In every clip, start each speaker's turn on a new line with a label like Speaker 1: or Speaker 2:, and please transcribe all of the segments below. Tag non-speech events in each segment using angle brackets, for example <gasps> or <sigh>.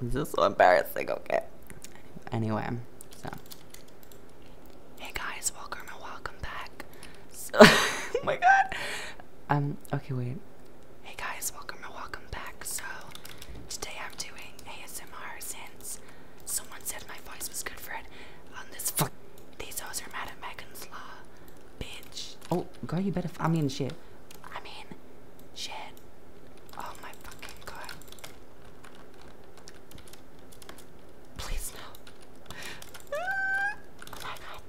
Speaker 1: This is so embarrassing, okay. Anyway, so. Hey guys, welcome and welcome back. So, <laughs> oh my god. Um, okay, wait.
Speaker 2: Hey guys, welcome and welcome back. So, today I'm doing ASMR since someone said my voice was good for it on this fuck. These hoes are mad at Megan's Law.
Speaker 1: Bitch. Oh, girl, you better. I mean, shit.
Speaker 2: I mean, shit. Oh my fucking god. Please no. <laughs> oh my god.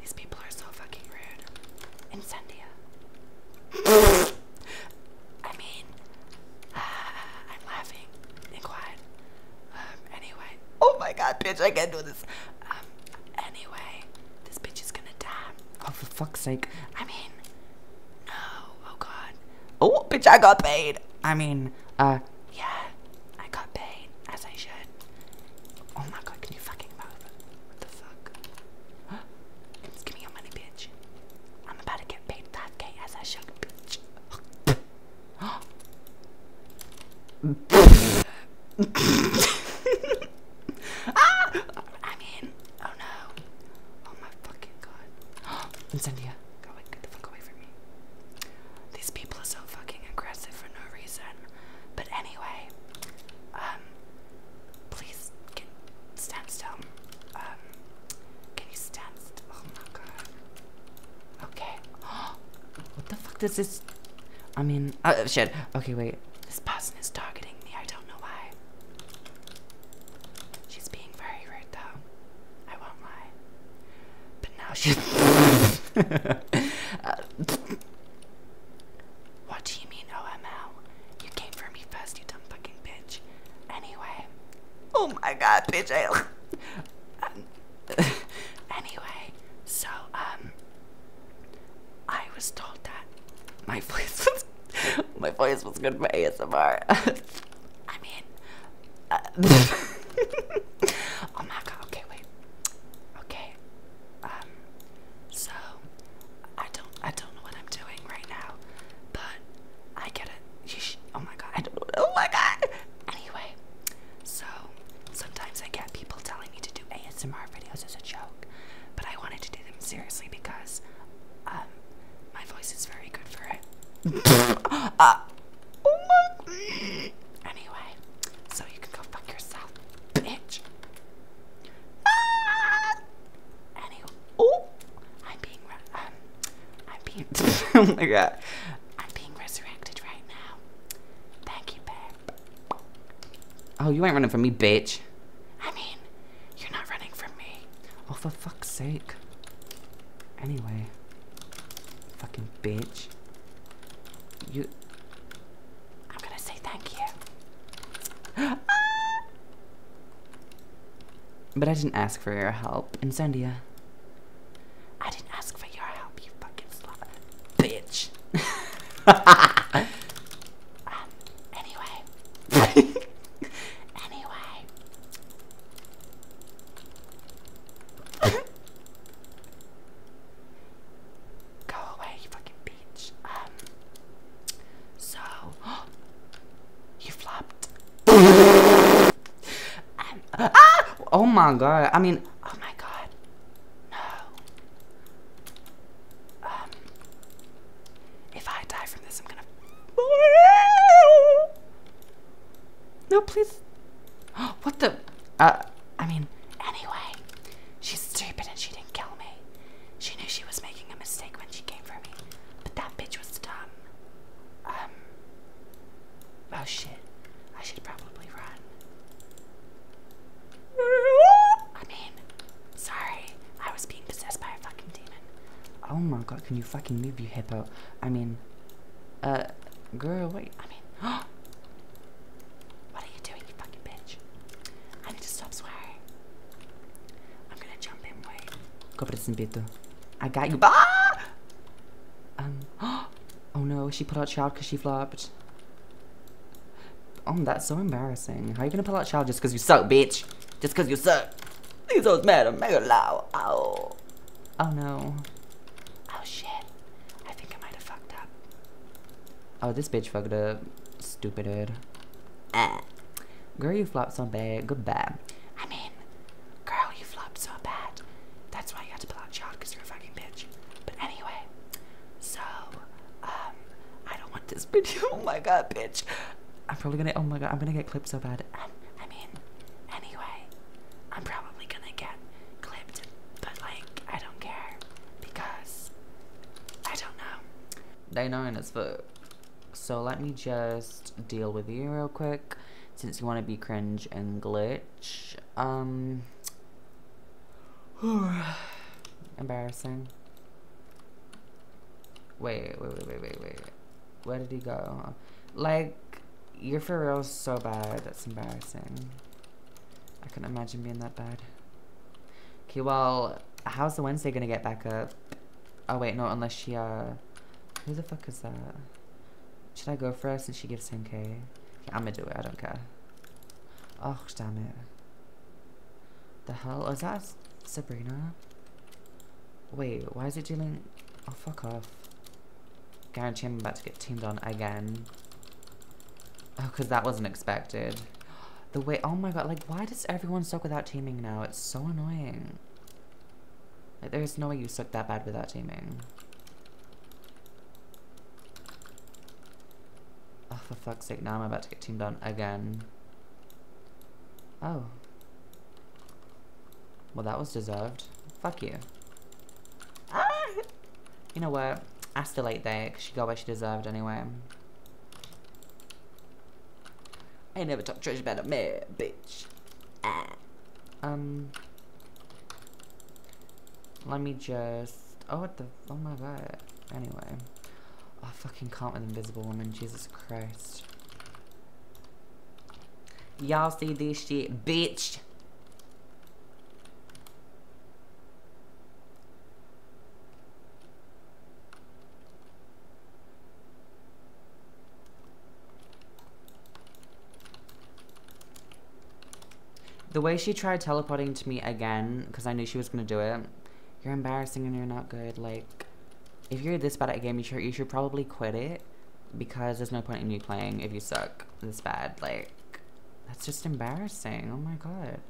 Speaker 2: These people are so fucking rude. Incendia. <laughs> I mean, <sighs> I'm laughing and quiet. Um, anyway. Oh my god, bitch, I can't do this. Um, anyway,
Speaker 1: this bitch is gonna die. Oh, for fuck's sake. I mean, no. Oh, God. Oh, bitch, I got paid. I mean, uh, yeah, I got paid, as I should. Oh, my God, can you fucking move? What the fuck? Give me your money, bitch. I'm about to get paid 5k as I should,
Speaker 2: bitch. <laughs> <laughs> <laughs> Ah! I'm Oh no. Oh my fucking god. <gasps> Incendia. Go away. Get the fuck away from me. These people are so fucking aggressive for no reason. But anyway, um, please can stand still. Um, can you Oh my god. Okay. <gasps> what the fuck does this
Speaker 1: I mean, uh, oh shit. Okay, wait. This person is targeting me. I don't know why. She's being very rude, though. I won't lie. But now she's. <laughs> uh, what do you mean, OML?
Speaker 2: You came for me first, you dumb fucking bitch. Anyway. Oh my god, bitch. I. <laughs> Um, <laughs> anyway, so um I was told that
Speaker 1: my <laughs> voice was my voice was good for ASMR. <laughs> I mean uh, Oh my god, okay wait. Okay.
Speaker 2: Um so I don't I don't know what I'm doing right now, but I get it. Oh my god, Oh my god. Anyway, so sometimes I get people telling me to do ASMR videos as a joke, but I wanted to do them seriously because um, my voice is very good for it. uh, <laughs> anyway, so you can go fuck yourself, bitch. Ah. Anyway,
Speaker 1: oh, I'm being, um, I'm being, <laughs> oh my god, I'm being resurrected right now. Thank you, babe. Oh, you ain't running from me, bitch. I mean, you're not running from me. Oh, for fuck's sake. Anyway. Fucking bitch. You...
Speaker 2: I'm gonna say thank
Speaker 1: you. <gasps> but I didn't ask for your help. Incendia. I didn't ask for your help, you fucking slut. Bitch. <laughs> Um, anyway. <laughs> anyway. Go away, you fucking bitch. Um, so, <gasps> you flopped. <laughs> Ah! Oh my god. I mean, oh my god. No. Um, if I die from this, I'm gonna... <gasps> No, please. <gasps>
Speaker 2: What the... Uh, I mean, anyway. She's
Speaker 1: stupid and she didn't kill
Speaker 2: me. She knew she was making a mistake when she came for me. But that bitch was dumb. Um, Oh shit. I should probably run. I mean, sorry. I was being possessed by a fucking demon.
Speaker 1: Oh my god, can you fucking move, you hippo? I mean, uh, girl, wait. I mean, <gasps> what are you doing, you fucking bitch? I need to stop swearing. I'm gonna jump in, wait. Cobra-se I got you. Ah! Um, <gasps> oh no, she pulled out child because she flopped. Oh, that's so embarrassing. How are you gonna pull out child just because you suck, bitch? Just because you suck. These old mad at mega loud. Ow. Oh. oh no. Oh shit. I think I might have fucked up. Oh, this bitch fucked up. Stupid head. Ah. Uh. Girl, you flopped so bad. Goodbye.
Speaker 2: I mean, Girl, you flopped so bad. That's why you had to pull out child because you're a fucking bitch. But anyway, so um I don't want this <laughs> video. oh my god, bitch.
Speaker 1: I'm probably gonna oh my god, I'm gonna get clipped so bad. Um, I mean, anyway, I'm probably
Speaker 2: gonna get clipped, but like I don't care because I
Speaker 1: don't know. They know as fuck. So let me just deal with you real quick since you want to be cringe and glitch. Um, <sighs> embarrassing. Wait, wait, wait, wait, wait, wait. Where did he go? Like, you're for real so bad. That's embarrassing. I can not imagine being that bad. Okay, well, how's the Wednesday gonna get back up? Oh, wait, no, unless she, uh... Who the fuck is that? Should I go first since she gives 10 ki am gonna do it, I don't care. Oh, damn it. The hell? Oh, is that Sabrina? Wait, why is it doing... Oh, fuck off. Guarantee I'm about to get teamed on again. Oh, because that wasn't expected. The way, oh my god, like, why does everyone suck without teaming now? It's so annoying. Like, there's no way you suck that bad without teaming. Oh, for fuck's sake, now I'm about to get teamed on again. Oh. Well, that was deserved. Fuck you. Ah! You know what? I still ate there, because she got what she deserved anyway. I never talked trash about a man, bitch. Ah. Um. Let me just. Oh, what the. Oh my god. Anyway. Oh, I fucking can't with Invisible Woman. Jesus Christ. Y'all see this shit, bitch. The way she tried teleporting to me again, because I knew she was going to do it, you're embarrassing and you're not good. Like, if you're this bad at a game, you should, you should probably quit it, because there's no point in you playing if you suck this bad. Like, that's just embarrassing. Oh my god.